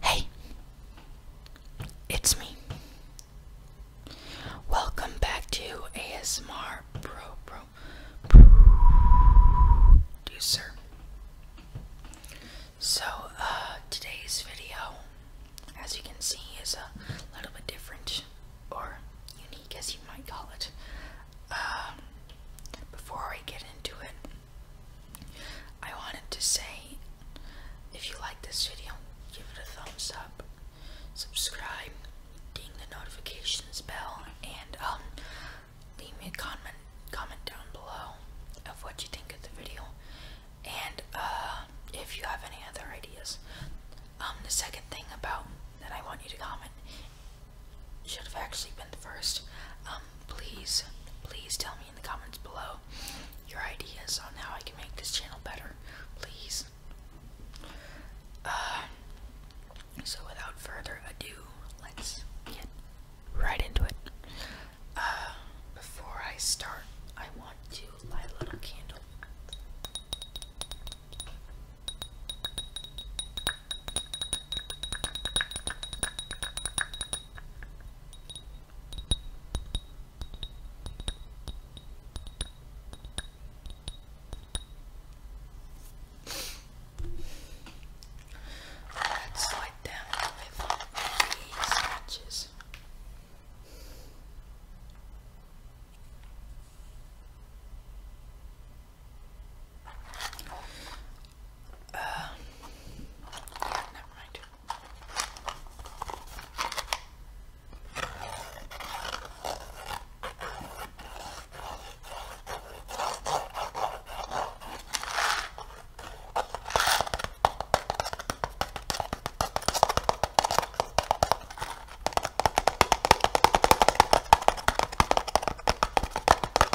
Hey, it's me. Welcome back to ASMR Producer. So, uh, today's video, as you can see, is a little bit different or unique, as you might call it. Um, before I get into it, I wanted to say if you like this video, give it a thumbs up, subscribe, ding the notifications bell, and um, leave me a comment comment down below of what you think of the video, and uh, if you have any other ideas. Um, the second thing about that I want you to comment should have actually been the first. Um, please, please tell me in the comments below your ideas on how I can make this channel better. Please. Uh, so without further ado, let's get right into it. Uh, before I start, I want to light a candle. Let's light them with these matches. Uh, yeah, never mind.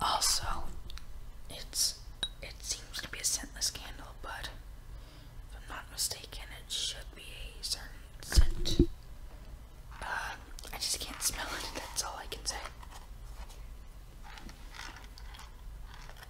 Also, it's it seems to be a scentless candle, but if I'm not mistaken, it should be a certain scent. Uh, I just can't smell it. That's all I can say.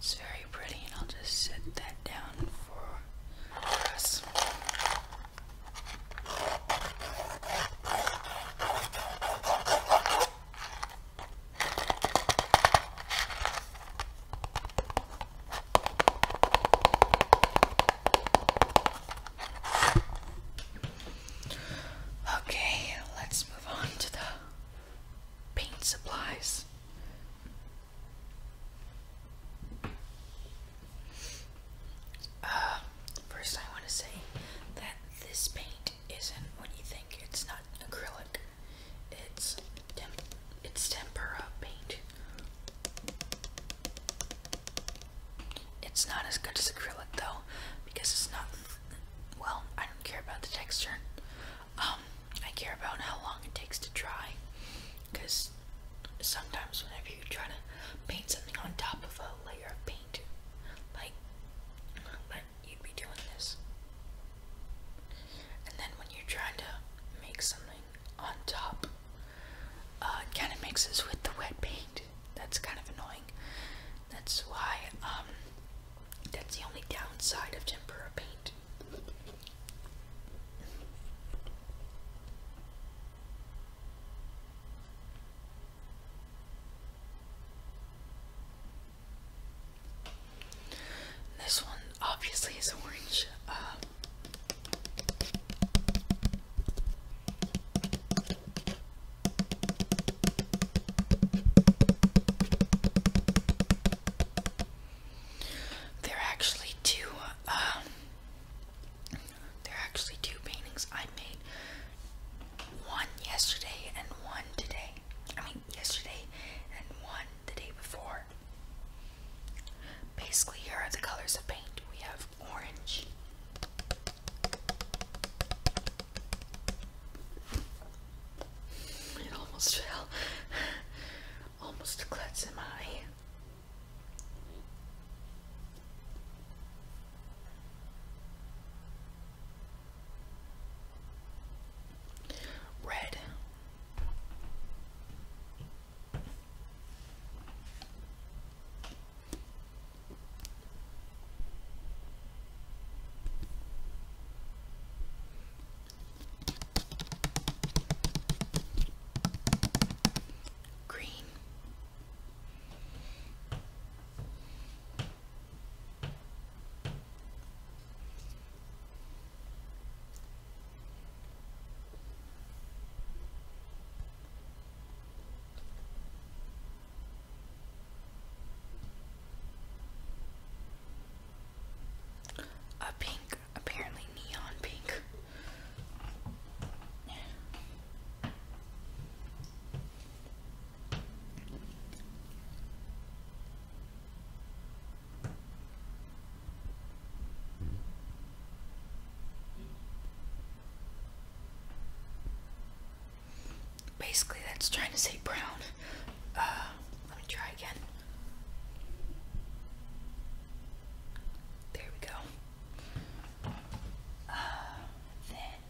It's very pretty, and I'll just set that down for Yes. Okay, let's move on to the paint supplies. Uh, first, I want to say that this paint isn't what you think. It's not acrylic. It's tem it's tempera paint. It's not as good as acrylic though, because it's not. Well, I don't care about the texture. Um, I care about how long it takes to dry, because sometimes whenever you try to paint something on top of a layer of paint, like, like you'd be doing this. And then when you're trying to make something on top, uh, it kind of mixes with the wet paint. That's kind of annoying. That's why, um, that's the only downside of tempera paint. This one obviously is orange. Uh, there are actually two. Um, there are actually two paintings I made. One yesterday and one today. I mean, yesterday and one the day before. Basically, here are the colors of paint. We have orange, it almost fell almost a glitz, in my hand. Red. Green. A pink apparently neon pink. Basically, that's trying to say brown. Uh, let me try again. There we go. Uh, then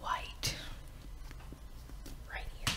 white right here.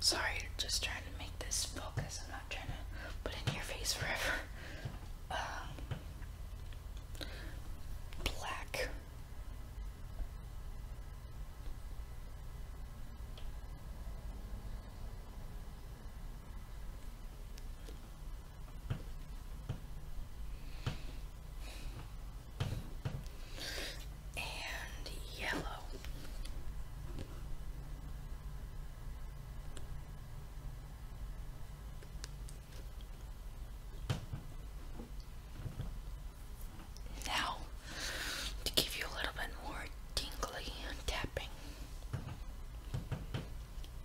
Sorry, just trying to make this focus. I'm not trying to put in your face forever. Um, black and yellow. Now, to give you a little bit more tingly tapping.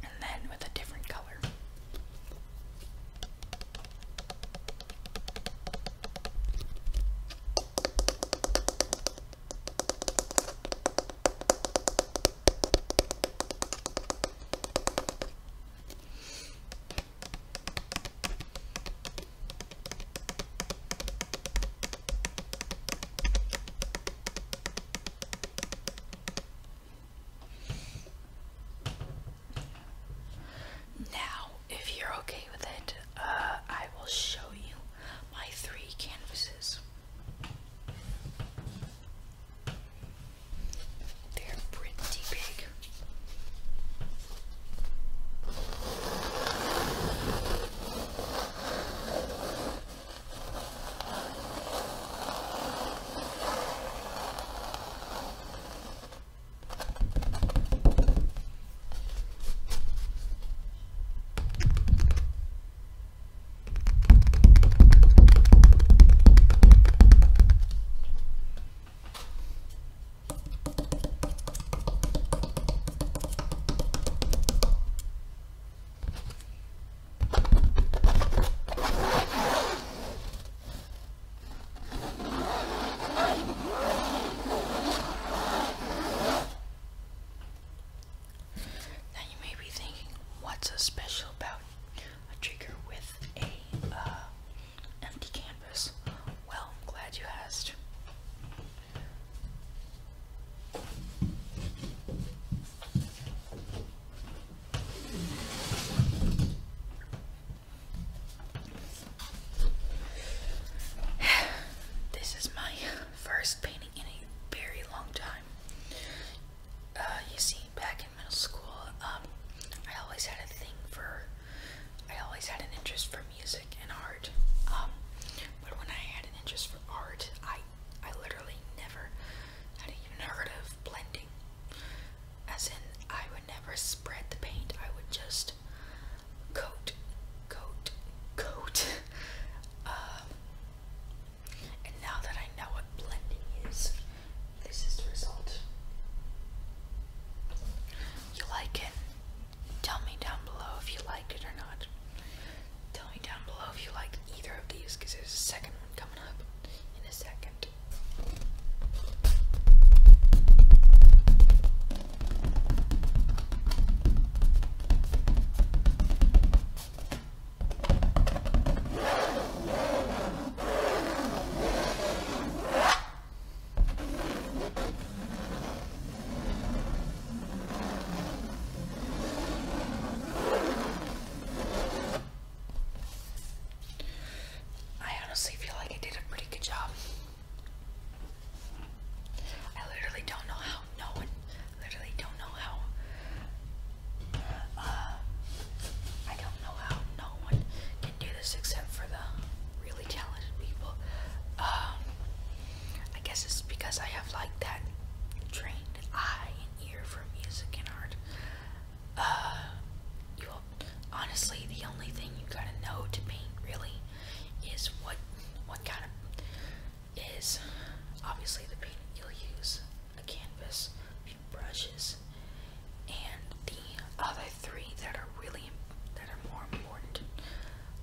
And then with a different color. Now, if you're okay with it, uh, I will show you my three canvases. They're pretty big. Now you may be thinking, what's so special about a trigger with a uh, empty canvas. Well, glad you asked. this is my first painting in a very long time. Uh, you see, back in middle school, um, I always had a thing for, I always had an interest for music and art. Um, but when I had an interest for art, I, I literally never had even heard of blending. As in, I would never spread the paint. I would just coat, coat, coat. Uh, and now that I know what blending is, this is the result. You like it? Tell me down below if you liked it or not. Tell me down below if you liked either of these because there's a second one coming up in a second. I honestly feel like I did a pretty good job. I literally don't know how don't literally don't know how uh, I don't know how no one can do this except for the really talented people. Um, I guess it's because I have like that trained eye and ear for music and art. Uh, honestly the only thing you gotta know to paint really is what what kind of is obviously the paint you'll use, a canvas, brushes, and the other three that are really that are more important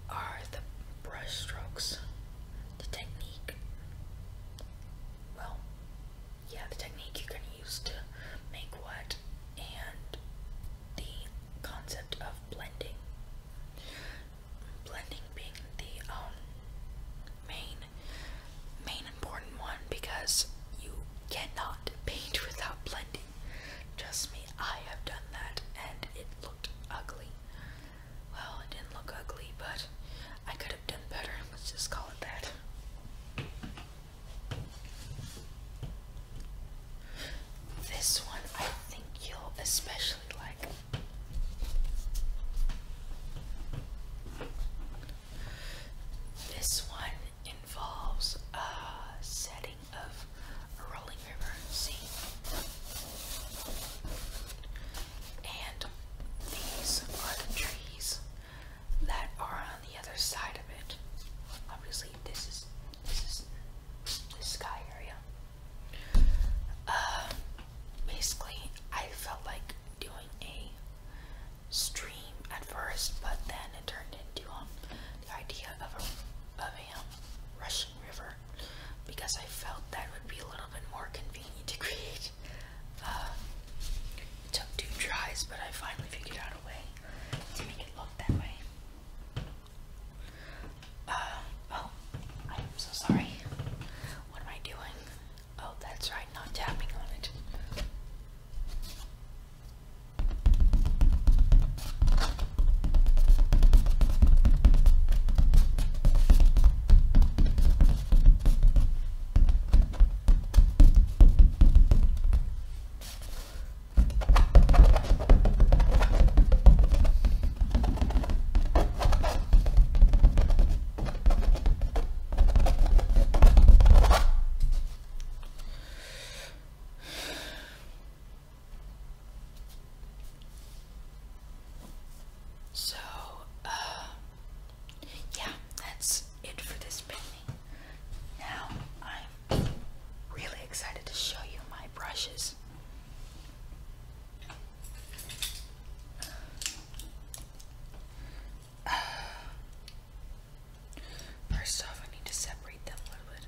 are the brushstrokes, the technique. Well, yeah, the technique you can use to make what, and the concept of blending blending being the um main main important one because you cannot paint without blending. Trust me, I have done that and it looked ugly. Well, it didn't look ugly, but I could have done better. Let's just call it that. This one I think you'll especially like. This one involves a setting of a rolling river scene. And these are the trees that are on the other side of it. Obviously this is this is the sky area. Um, basically, I felt like doing a stream at first, but then it turned into um, the idea of a, of a um, river because I felt that would be a little bit more convenient to create. Um, it took two tries, but I finally figured out a way to make it look that way. Uh, oh, I am so sorry. What am I doing? Oh, that's right, not tapping on it. So, uh, yeah, that's it for this painting. Now I'm really excited to show you my brushes. First off, I need to separate them a little bit.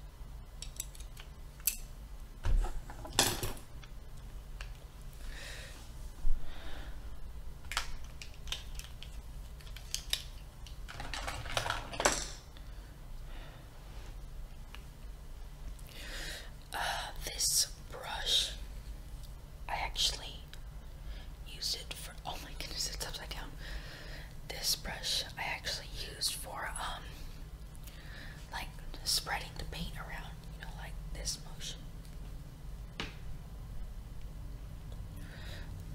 Uh, this brush, I actually used it for, oh my goodness, it's upside down. This brush I actually used for, um, like spreading the paint around, you know, like this motion.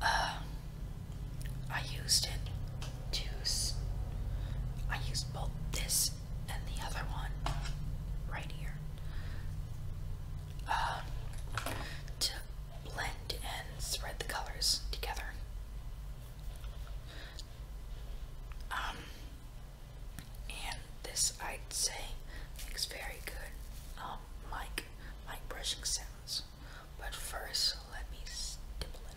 Uh, I used it to, I used both this and the other one right here um, to blend and thread the colors together. Um, and this I'd say makes very good um, mic, mic brushing sounds. But first, let me stipple it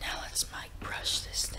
now let's mic brush this thing.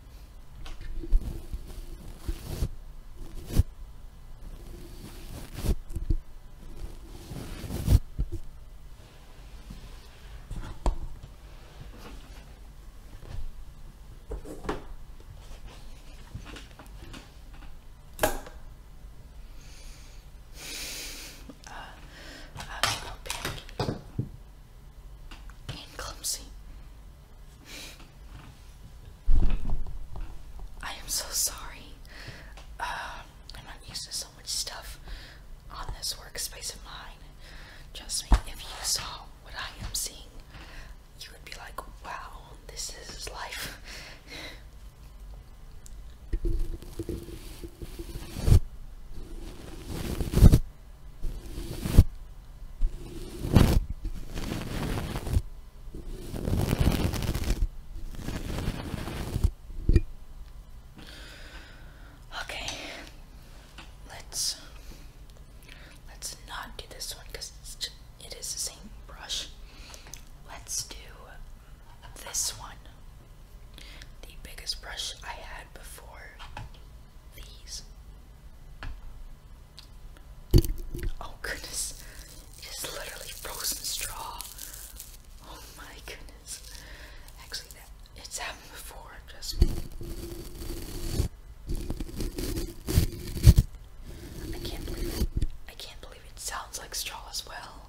Uh, I was so big and clumsy. I am so sorry. Uh, I'm not used to so much stuff on this workspace of mine. Trust me, if you saw what I am seeing, you would be like, wow, this is life. Okay, let's let's not do this one because it is the same brush. Let's do this one. The biggest brush I had before these. Oh goodness, it is literally frozen straw. Oh my goodness. Actually, that it's happened before. Just I can't believe it. I can't believe it sounds like straw as well.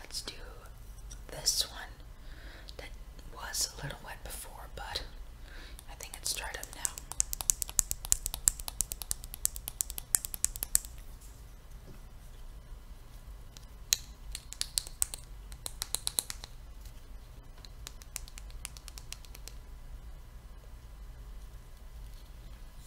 Let's do this one that was a little wet before, but I think it's dried up now.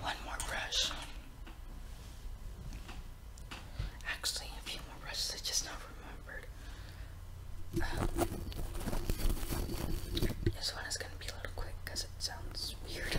One more brush. Actually, a few more brushes I just now remembered. Um, this one is gonna be a little quick because it sounds weird.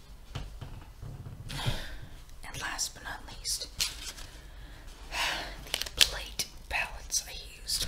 And last but not least, the plate palettes I used.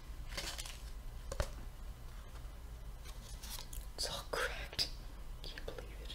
It's all cracked. Can't believe it.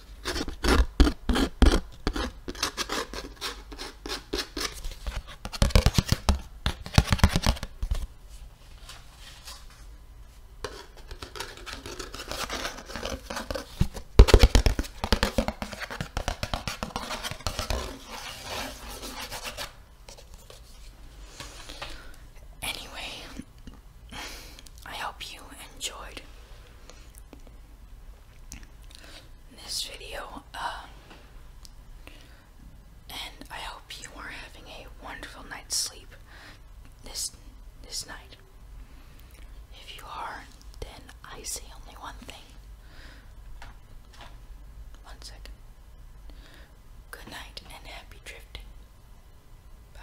Anyway, I hope you enjoyed this video, um, and I hope you are having a wonderful night's sleep this this night. If you are, then I say only one thing. One second. Good night and happy drifting. Bye.